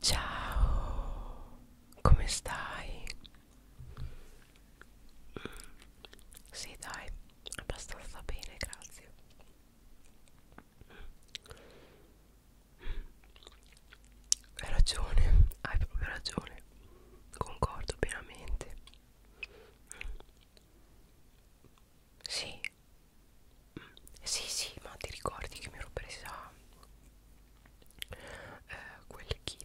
Ciao, come stai? Sì, dai, abbastanza bene, grazie. Hai ragione, hai proprio ragione. Concordo pienamente. Sì, sì, sì, ma ti ricordi che mi ero presa eh, quel kit?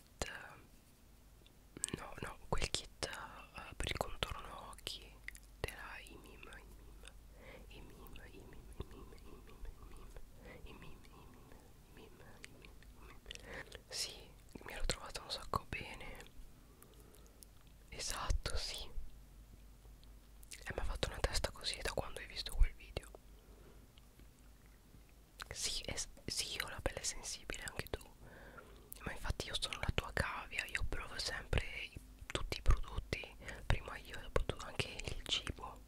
No, no, quel kit eh, per il contorno occhi della IMIM, IMIM, IMIM, IMIM, IMIM, IMIM, IMIM, IMIM, IMIM, IMIM, IMIM. Sì, mi ero trovata un sacco bene. Esatto, sì. E eh, mi ha fatto una testa così da quando hai visto quel video Sì, è, sì io ho la pelle sensibile anche tu Ma infatti io sono la tua cavia Io provo sempre i, tutti i prodotti Prima io, dopo tu anche il cibo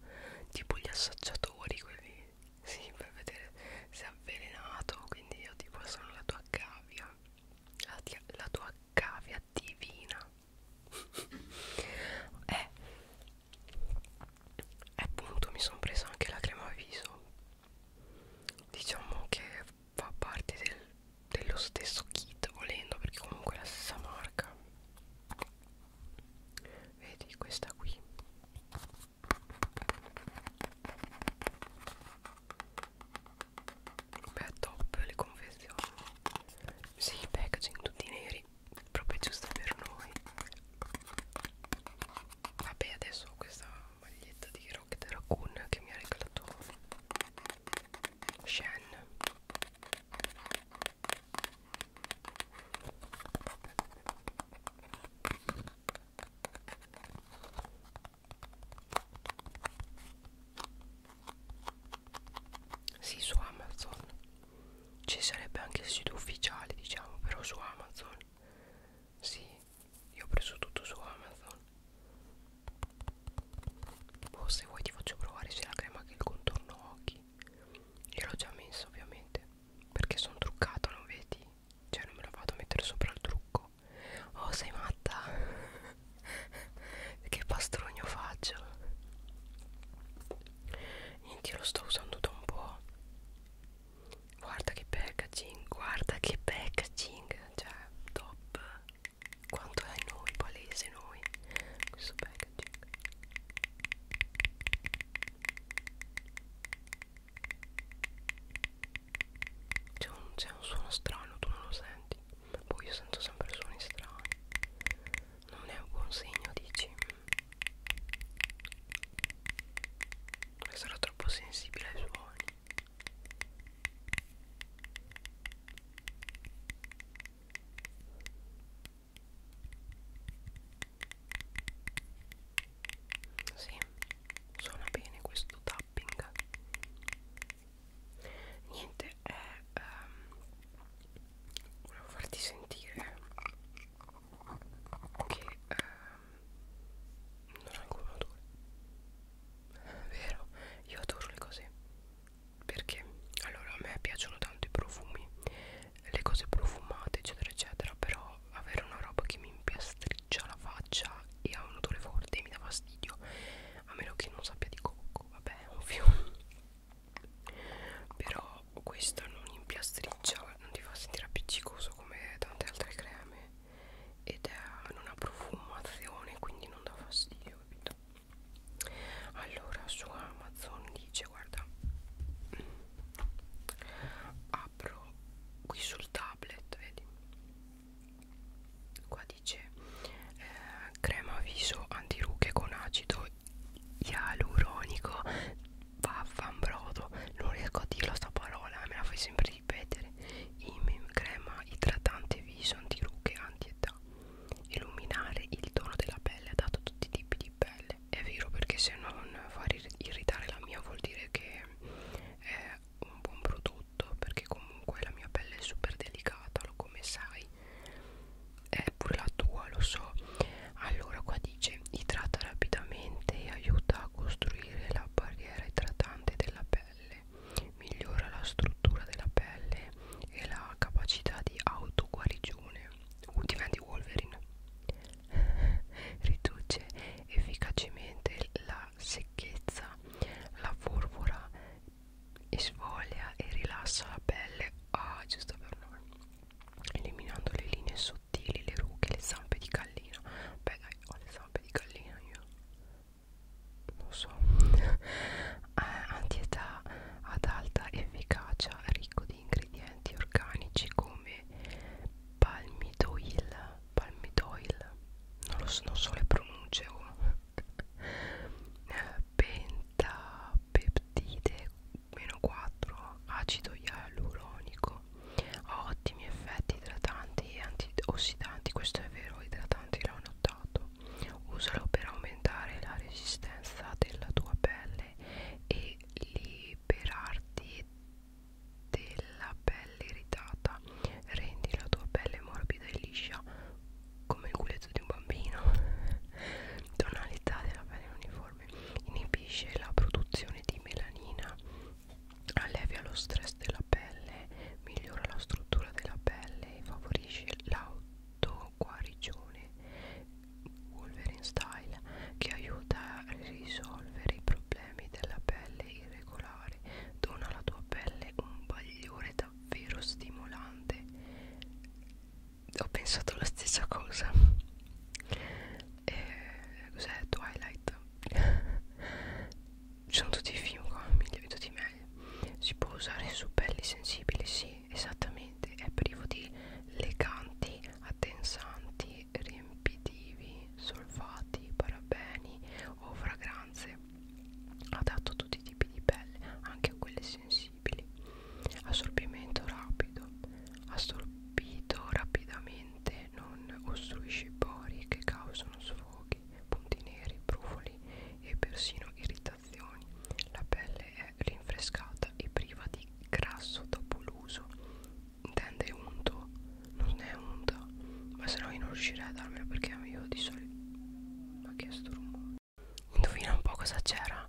Tipo gli assaggiatori quelli Sì, per vedere se è avvelenato Quindi io tipo sono la tua cavia la, la tua cavia divina eh. eh, appunto mi sono presa anche la crema viso diciamo che fa parte del, dello stesso kit volendo perché comunque è la stessa marca vedi questa qui beh top le confezioni sì, packaging tutti neri, proprio giusto per noi. Vabbè, adesso ho questa maglietta di Rocket Raccoon che mi ha regalato Shen. Sì, su Amazon ci sarebbe anche il sito ufficiale, diciamo, però su Amazon. Sì, io ho preso tutto su Amazon. Boh, se vuoi ti faccio provare sia la crema che il contorno occhi. Io l'ho già messa ovviamente, perché sono truccato, non vedi? Cioè non me la vado a mettere sopra il trucco. Oh, sei matta! che pastrogno faccio niente io lo sto usando da un po' guarda che packaging guarda che packaging cioè top quanto è noi palese noi questo packaging c'è un, un suono strano tu non lo senti poi io sento sempre suoni strani Non è un buon segno dici mm. Sarò troppo sensibile ai suoni sì, suona bene questo tapping niente è ehm, volevo farti sentire che ehm, non ho alcun odore vero io adoro le cose perché allora a me piacciono tanto i profumi le cose profumate eccetera eccetera però avere una roba che mi impiastriccia la faccia e ha un odore forte mi dà fastidio a meno che non sappia di cocco bianco vabbè ovvio però questo non impiastriccia non ti fa sentire appiccicoso come tante altre creme ed è, non ha profumazione quindi non dà fastidio capito allora su Amazon dice guarda apro qui sul tablet vedi qua radice eh, crema viso antirughe con acido ialuronico vaffanbrodo non riesco a dirlo sta parola me la fai sempre ripetere Imim crema idratante viso antirughe antietà illuminare il tono della pelle dato a tutti i tipi di pelle è vero perché se non far irritare la mia vuol dire che è un buon prodotto tutto perché comunque la mia pelle è super delicata lo come sai è pure la tua lo so allora qua dice idrata rapidamente e aiuta a costruire la barriera idratante della pelle migliora la struttura della pelle e la capacità di autoguarigione uh, diventi Wolverine riduce efficacemente la secchezza la forvora e svoglia e rilassa la pelle ah giusto per noi eliminando le linee sottili le rughe le zampe di gallina beh dai ho le zampe di gallina io non so eh, antietà ad alta efficacia ricco di ingredienti organici come palmidoil palmidoil non, lo so, non so le pronunce o oh pentapeptide meno 4 acido ialuronico ha ottimi effetti idratanti e antiossidanti questo è vero idratanti l'ho notato usalo per aumentare la resistenza della tua pelle e liberarti della pelle irritata rendi la tua pelle morbida e liscia come il culetto di un bambino tonalità della pelle uniforme inibisce la produzione di melanina allevia lo stress della pelle migliora la struttura della pelle e favorisce l'autoguarigione Wolverine Style che aiuta a risolvere i problemi della pelle irregolare dona alla tua pelle un bagliore davvero stimolante ho pensato la stessa cosa e, cos'è Twilight ci sono tutti i film qua migliori tutti meglio si può usare su pelli sensibili sì esattamente è privo di leganti addensanti riempitivi solfati parabeni o fragranze adatto a tutti i tipi di pelle, anche a quelle sensibili. Assorbimento rapido, assorbito rapidamente, non ostruisce i pori che causano sfoghi, punti neri, brufoli e persino irritazioni. La pelle è rinfrescata e priva di grasso dopo l'uso. Intende unto? Non è unto, ma se no io non riuscirei a darmelo perché io di solito ma che sto rumore? Indovina un po' cosa c'era?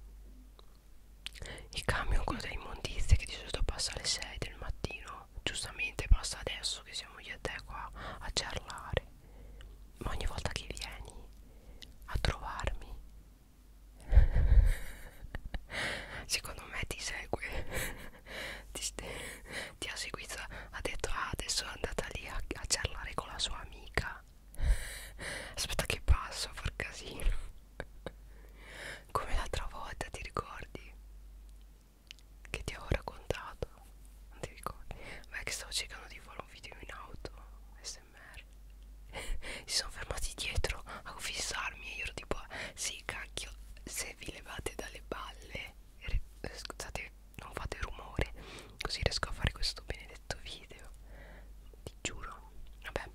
Il camion quello delle immondizie che di solito passa alle 6 del mattino. Giustamente passa adesso che siamo io e te qua a cerlare. Ma ogni volta che vieni a trovarmi, secondo me ti segue. ti, ti ha seguito ha detto ah adesso è andata lì a, a parlare con la sua amica aspetta che passo a far casino come l'altra volta ti ricordi che ti avevo raccontato non ti ricordi beh che stavo cercando di fare un video in auto smr si sono fermati dietro a fissarmi e io ero tipo sì cacchio se vi levate dalle balle scusate non fate rumore così riesco a fare questo benedetto video ti giuro vabbè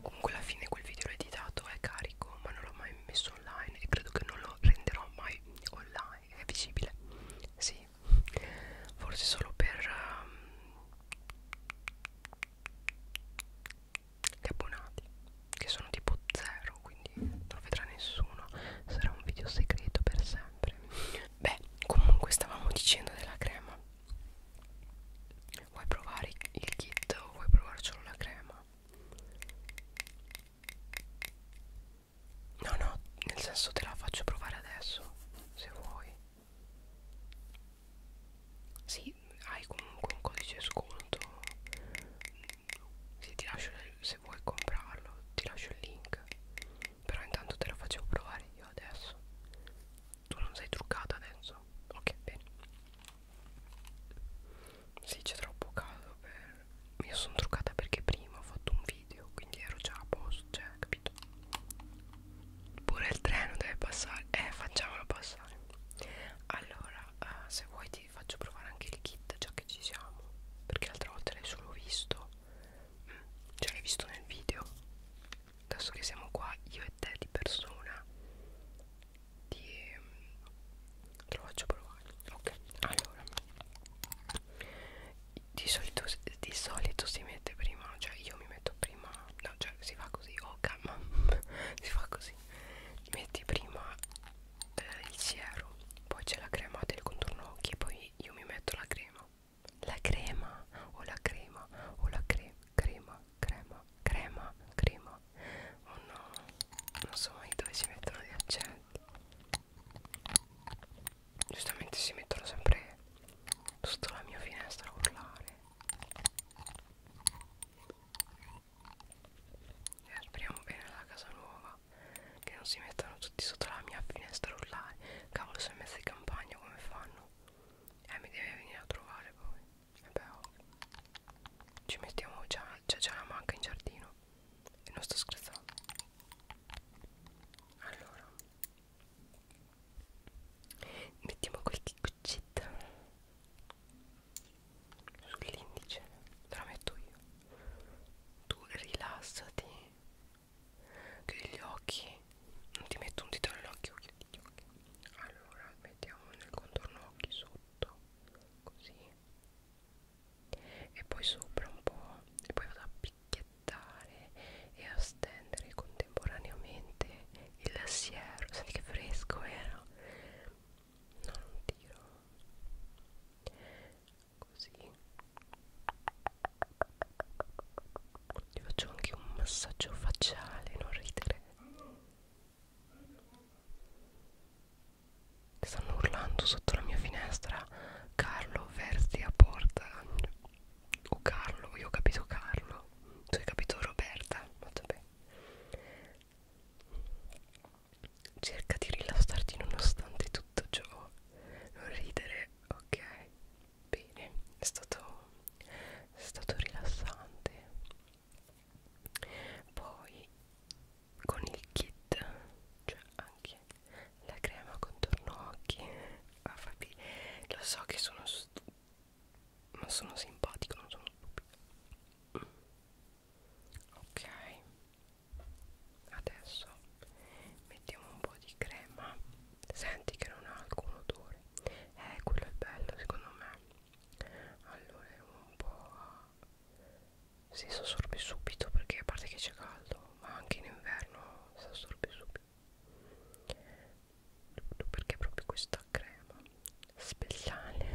comunque alla fine quel video l'ho editato è carico ma non l'ho mai messo online e credo che non lo renderò mai online è visibile sì forse solo per um, gli abbonati che sono tipo zero quindi non lo vedrà nessuno sarà un video segreto per sempre beh comunque stavamo dicendo della crema vuoi provare il kit o vuoi provare solo la crema no no nel senso te la faccio provare adesso se vuoi sì, hai comunque un codice sconto sì, ti lascio se vuoi comprarlo ti lascio il link però intanto te lo facevo provare io adesso tu non sei truccata adesso ok bene sì c'è troppo caldo per mi sono truccata perché prima ho fatto un video quindi ero già a posto cioè capito pure il treno deve passare eh facciamolo passare allora uh, se vuoi ti faccio provare anche il kit già che ci siamo perché l'altra volta l'hai solo visto cioè l'hai visto nel video adesso che siamo qua io e te di persona ti mm, te lo faccio provare ok allora di solito, di solito si mette prima cioè io mi metto prima no cioè si fa così oh calma si fa così metti prima eh, il siero poi c'è la crema del contorno occhi poi io mi metto la crema la crema o la crema o la cre crema crema crema crema oh no non so mai dove si mettono gli accenti giustamente si mettono sempre sotto la mia finestra a urlare e eh, speriamo bene la casa nuova che non si mettano tutti sotto la mia finestra a urlare cavolo sono messa in campagna come fanno eh mi deve venire a trovare poi vabbè eh, oh. ci mettiamo già c'è già la manca in giardino e non sto scherzando allora mettiamo qualche cuccetta sull'indice te la metto io tu rilassati chiudi gli occhi non ti metto un dito nell'occhio chiudi gli occhi allora mettiamo nel contorno occhi sotto così e poi sopra un po' e poi vado a picchiettare e a stendere contemporaneamente il siero senti che fresco era no, non tiro così ti faccio anche un massaggio facciale non ridere stanno urlando sotto la mia finestra Carlo versi a porta o Carlo io ho capito Carlo tu hai capito Roberta vabbè Cerca di rilassarti nonostante tutto ciò. Non ridere, ok? Bene, è stato, è stato rilassante. Poi con il kit, cioè anche la crema contorno occhi. Ah, Fabi, lo so che sono ma sono simpatico, non sono stupido ok adesso mettiamo un po' di crema senti che non ha alcun odore eh quello è bello secondo me allora un po' si assorbe subito perché a parte che c'è caldo ma anche in inverno si assorbe subito perché proprio questa crema speciale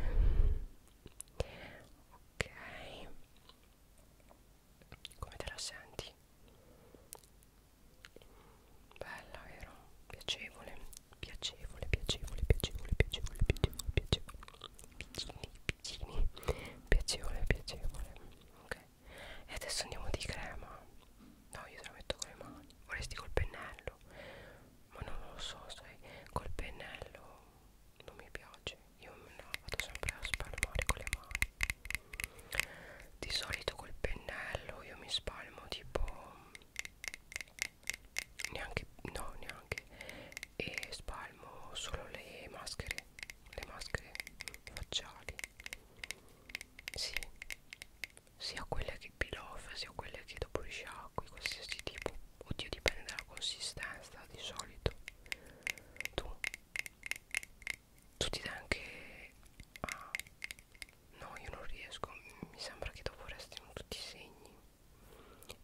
ok come te la senti? bella vero? piacevole piacevole piacevole piacevole piacevole piacevole piacevole piccini piccini piacevole piacevole ok e adesso andiamo di crema no io te la metto con le mani vorresti col pennello ma non lo so sai col pennello non mi piace io me la vado sempre a spalmare con le mani di solito col pennello io mi spalmo tipo neanche no neanche e spalmo solo le maschere le maschere facciali sì sia quelle che peel off sia quelle che dopo risciacqui qualsiasi tipo oddio dipende dalla consistenza di solito tu tu ti dai anche ah no io non riesco mi sembra che dopo restino tutti i segni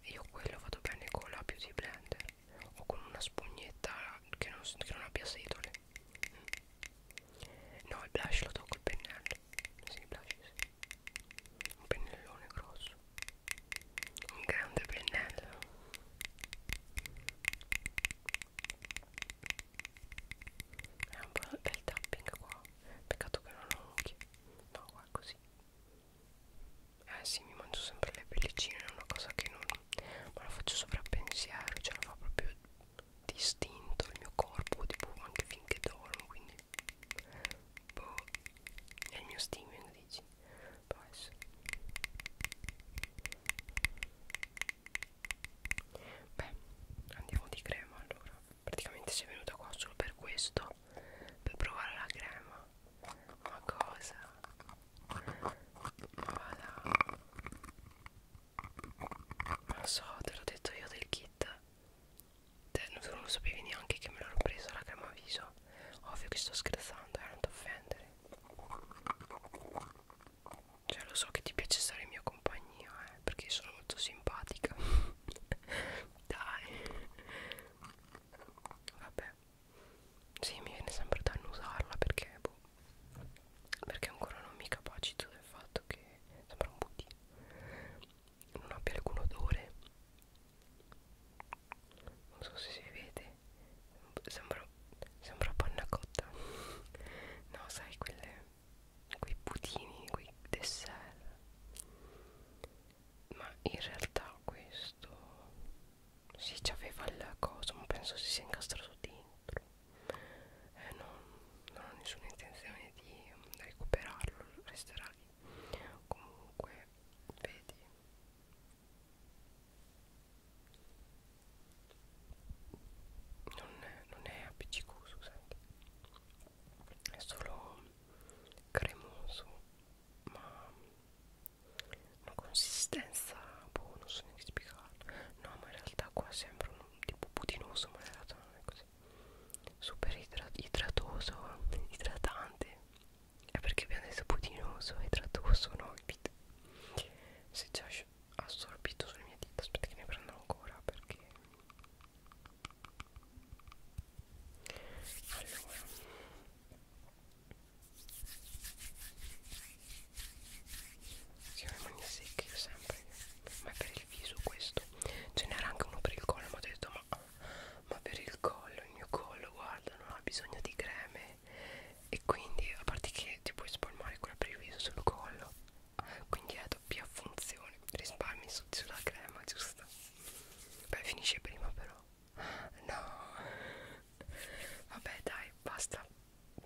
e io quello vado bene con la beauty blender o con una spugnetta che non, che non abbia setole mm. no il blush lo do col pennello sì, il blush sì. un pennellone grosso un grande pennello è un po' del tapping qua peccato che non ho occhi no qua così eh sì mi mangio sempre le pellicine è una cosa che non ma lo faccio sovrappensiero cioè lo fa proprio distinto il mio corpo tipo anche finché dormo quindi Boh, è il mio streaming, dici? Può essere. Beh, andiamo di crema allora. Praticamente sei venuta qua solo per questo, per provare la crema. Ma cosa? Voilà. Non so, te l'ho detto io del kit non, non sapevi neanche che me l'ero presa la crema viso ovvio che sto scherzando eh non ti offendere cioè lo so che ti piace stare in mia compagnia eh perché sono molto simpatica dai vabbè sì mi viene sempre da annusarla perché boh perché ancora non mi capacito del fatto che sembra un butti non abbia alcun odore non so se si vede sembra, sembra panna cotta no sai quelle quei putini quei dessert ma in realtà questo si sì, c'aveva la cosa ma penso si sia incastrato dentro eh, non, non ho nessuna intenzione di recuperarlo resterà lì comunque vedi non è, non è appiccicoso senti è solo cremoso ma una consistenza boh non so neanche spiegarlo no ma in realtà qua sembra un tipo putinoso ma in realtà non è così super idra idratoso idratante è perché abbiamo detto putinoso idratoso no si è già assorbito sulle mie dita aspetta che ne prendo ancora perché allora si le mani secche sempre ma è per il viso questo ce n'era anche uno per il collo ma ho detto ma ma per il collo, il mio collo, guarda, non ha bisogno di creme e quindi a parte che ti puoi spalmare quella per il viso sul collo quindi è doppia funzione risparmi su, sulla crema giusta beh finisce prima però no vabbè dai basta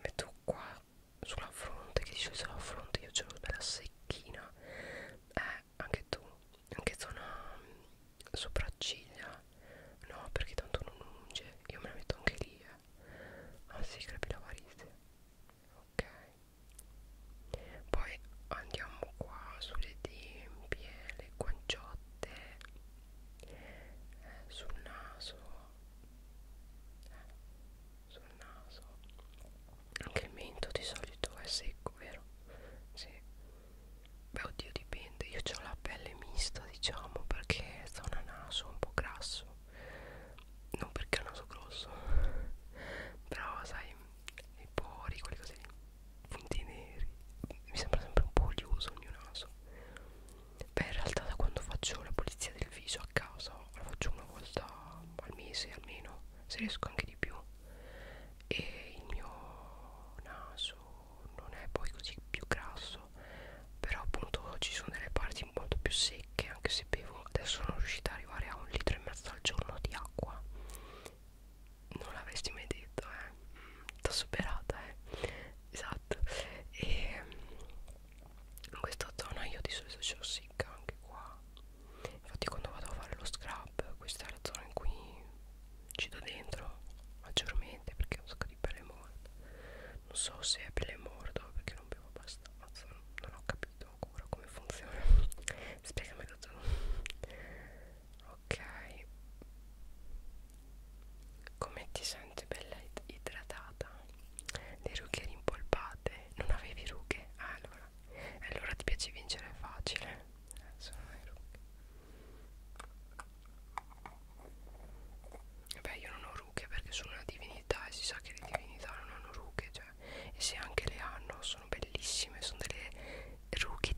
metto qua sulla fronte che dice sulla fronte io ce l'ho bella secchina è eh, anche tu, anche zona mm, sopracciglia, no perché tanto non unge, io me la metto anche lì, eh. ah sì, crepilavarite, ok, poi andiamo qua sulle tempie, le guanciotte, eh, sul naso, eh, sul naso anche il mento di solito è secco vero? Sì. beh oddio dipende io ho la pelle mista diciamo perché zona naso un po' grasso non perché il naso grosso però sai i pori quelli così punti neri mi sembra sempre un po' olioso il mio naso beh in realtà da quando faccio la pulizia del viso a casa la faccio una volta al mese almeno se riesco anche di più e il mio naso non è poi così più grasso però appunto ci sono delle parti molto più secche anche se bevo adesso sono riuscita ad arrivare a un litro e mezzo al giorno di acqua non l'avresti mai detto eh mm, t'ho superata eh esatto e ehm, in questa zona io di solito ce l'ho secca anche qua infatti quando vado a fare lo scrub questa è la zona in cui ci do dentro maggiormente perché è un sacco di pelle morta non so se è pelle morta perché non bevo abbastanza non ho capito ancora come funziona spiegamelo tu ok come ti senti bella idratata? Le rughe rimpolpate? Non avevi rughe? Ah, allora allora ti piace vincere facile eh, sono vero Beh, io non ho rughe perché sono una divinità e si sa che le divinità non hanno rughe, cioè, e se anche le hanno sono bellissime, sono delle rughe divine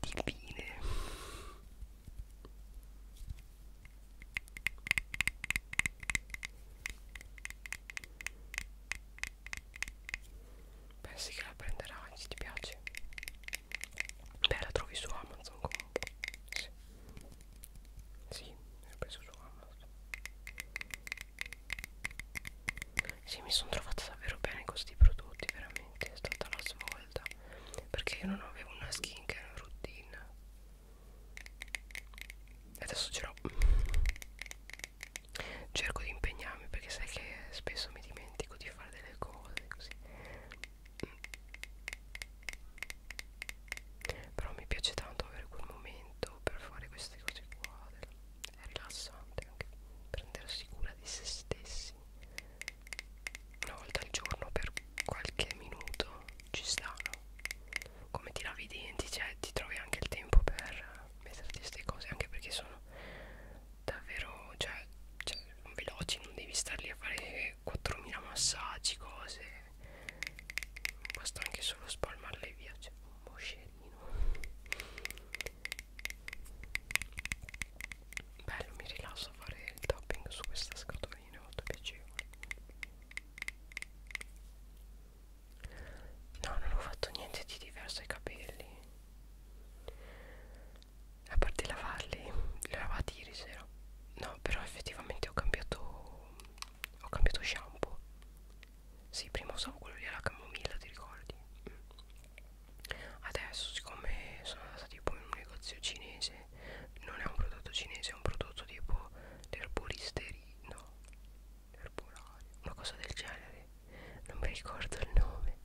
pensi che la prenderai se ti piace beh la trovi su Amazon comunque sì sì l'ho preso su Amazon sì mi sono trovata davvero bene con questi prodotti veramente è stata la svolta perché io non avevo una skincare routine e adesso ce l'ho cerco di impegnarmi perché sai che spesso mi dimentico di fare delle cose così mm. però mi piace tanto avere quel momento per fare queste cose qua è rilassante anche prendersi cura di se stessi una volta al giorno per qualche minuto ci stanno come ti lavi i denti cioè ti trovi anche il tempo per metterti queste cose anche perché sono davvero cioè, cioè veloci non devi star lì a fare 4000 massaggi cose basta anche solo spalmarle via cioè un moscerino bello mi rilasso a fare il topping su questa scatolina è molto piacevole No, non ho fatto niente di diverso ai capelli. A parte lavarli, li ho lavati ieri sera. No, però effettivamente ho cambiato ho cambiato shampoo. Sì, prima usavo quello lì alla camomilla, ti ricordi? Mm. Adesso, siccome sono andata tipo in un negozio cinese, non è un prodotto cinese, è un prodotto tipo l'erboristeria, no, erburario, una cosa del genere, non mi ricordo il nome,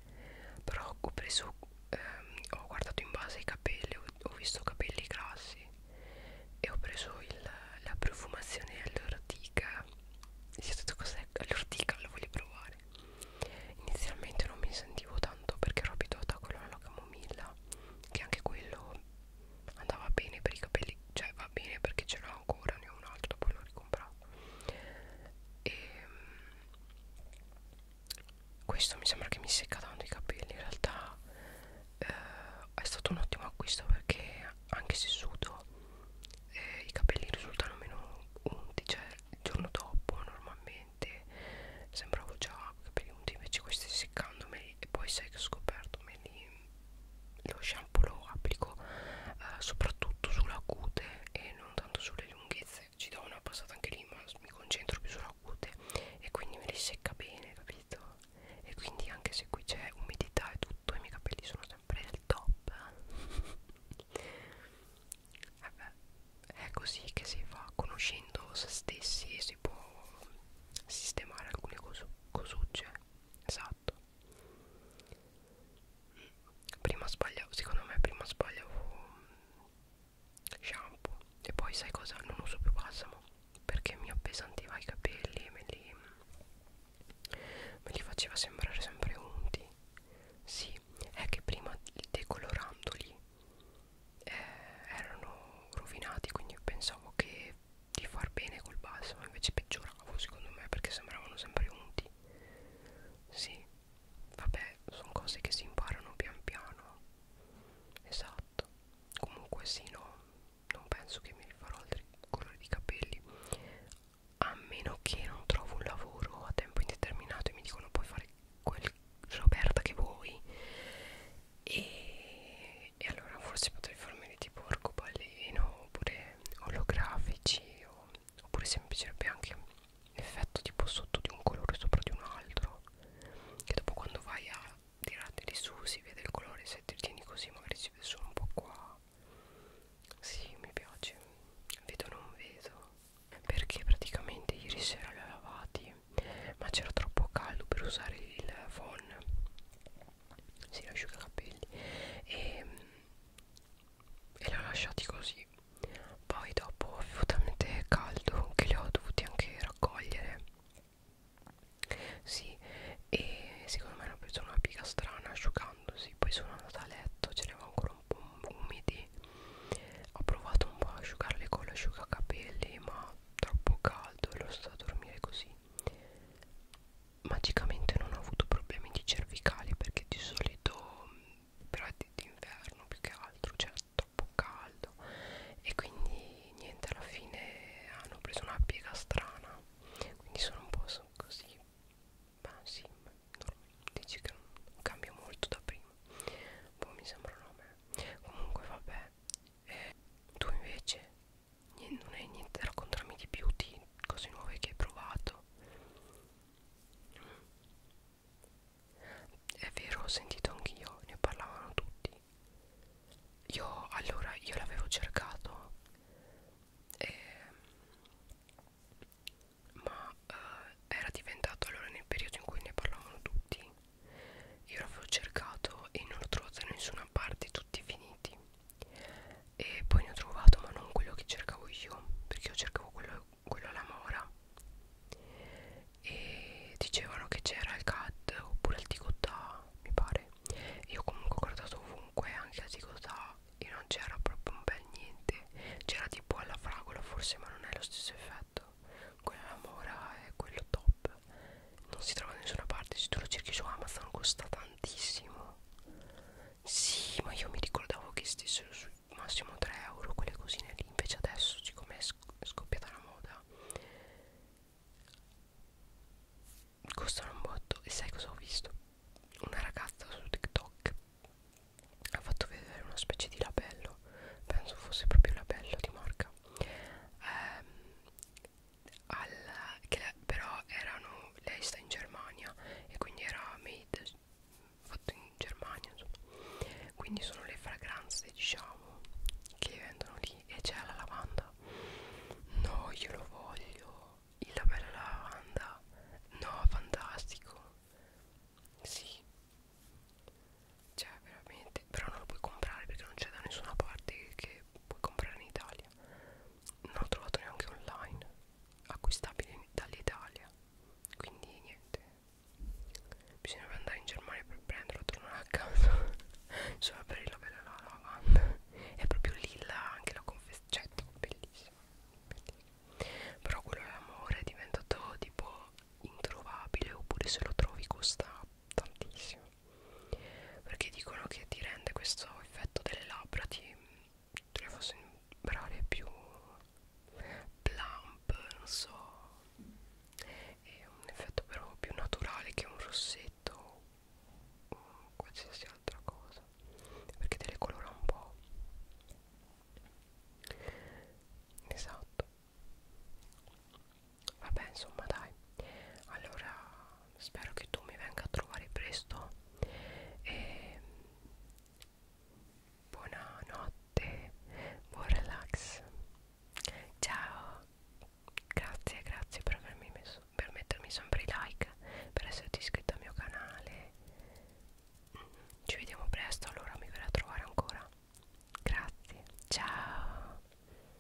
però ho preso, ehm, ho guardato in base ai capelli, ho, ho visto capelli grassi e ho preso il, la profumazione all'ortica, sì, ho detto cos'è all'ortica, lo voglio provare. Inizialmente non mi sentivo tanto perché ero abituata a quello alla camomilla, che anche quello andava bene per i capelli, cioè va bene perché ce l'ho ancora ne ho un altro poi l'ho ricomprato e ehm, questo mi sembra che mi secca tanto i capelli in realtà eh, è stato un ottimo acquisto perché anche se sudo eh, i capelli risultano meno unti cioè il giorno dopo normalmente sembravo già capelli unti invece questi seccandomi e poi sai che ho scoperto me li lo shampoo lo applico eh, soprattutto sulla cute e non tanto sulle lunghezze ci do una passata anche lì ma mi concentro più sulla cute e quindi me li secca bene capito e quindi anche se qui c'è umidità e tutto i miei capelli sono sempre al top vabbè è così che si fa conoscendo se stessi si può sistemare alcune cosu cosucce esatto prima sbagliavo secondo me prima sbagliavo mm, shampoo e poi sai cosa non uso più balsamo perché mi appesantiva i capelli e me li, me li faceva sembrare sempre unti sì è che prima decolorandoli eh, erano rovinati quindi pensavo che di far bene col balsamo invece peggioravo secondo me perché sembravano sempre unti sì vabbè sono cose che si imparano pian piano esatto comunque sì no non penso che mi rifarò altri colori di capelli a meno che non trovo un lavoro a tempo indeterminato e mi dicono puoi fare quel Roberta che vuoi e e, e allora forse potrei farmeli tipo arcobaleno oppure olografici o, oppure se mi piacerebbe anche l'effetto tipo sotto di un colore sopra di un altro che dopo quando vai a tirarteli su si vede il colore se ti tieni così magari si vede solo un po' qua sì mi piace vedo non vedo perché praticamente ieri sera li ho lavati ma c'era troppo caldo per usare il phon si asciuga i capelli e, e li ho lasciati così poi dopo avevo talmente caldo che li ho dovuti anche raccogliere sì e secondo me hanno preso una piga strana asciugandosi poi sono andata a letto ce ne avevo ancora un po' umidi ho provato un po' a asciugarli con l'asciugacapelli ma troppo caldo e lo sto a dormire così magicamente non ho avuto problemi di cervicali perché di solito mm, però è d'inverno più che altro c'era cioè troppo caldo e quindi niente alla fine hanno preso una piega strana quindi sono un po' così ma sì ma dici che non cambia molto da prima boh mi sembrano a me comunque vabbè eh, tu invece niente, non è niente raccontarmi di più di cose nuove che hai provato è vero ho sentito anch'io ne parlavano tutti io allora io l'avevo cercato e, ma eh, era diventato allora nel periodo in cui ne parlavano tutti io l'avevo cercato e non l'ho trovato da nessuna parte tutti finiti e poi ne ho trovato ma non quello che cercavo io perché io cercavo quello, quello alla mora e dicevano che c'era il cat oppure il ticotà mi pare io comunque ho guardato ovunque anche al ticotà e non c'era proprio un bel niente c'era tipo alla fragola forse ma non è lo stesso effetto quella alla mora è quello top shop non si trova da nessuna parte se tu lo cerchi su Amazon costa tantissimo sì ma io mi ricordavo che stessero su massimo 3 euro quelle cosine lì invece adesso siccome è scoppiata la moda costano un botto e sai cosa ho visto? una ragazza su TikTok ha fatto vedere una specie di labello penso fosse proprio il labello di marca ehm, alla, che la, però erano lei sta in Germania e quindi era made fatto in Germania insomma. quindi sono le fragranze diciamo che vendono lì e c'è la lavanda no io lo voglio la bella lavanda no fantastico sì cioè veramente però non lo puoi comprare perché non c'è da nessuna parte che che puoi comprare in Italia non ho trovato neanche online acquistabile dall'Italia quindi niente bisognava andare in Germania per prenderlo tornare a casa solo per il lavare la lavanda è proprio lì la, anche la confezione cioè, bellissima, bellissima però quello dell'amore è diventato tipo introvabile oppure se lo trovi costa tantissimo perché dicono che ti rende questo effetto delle labbra ti, ti le fa sembrare più plump non so è un effetto però più naturale che un rossetto o qualsiasi altra cosa perché te le colora un po' esatto vabbè insomma dai allora spero che tu mi venga a trovare presto e buonanotte buon relax ciao grazie grazie per avermi messo per mettermi sempre i like per esserti iscritto al mio canale ci vediamo presto allora mi verrà a trovare ancora grazie ciao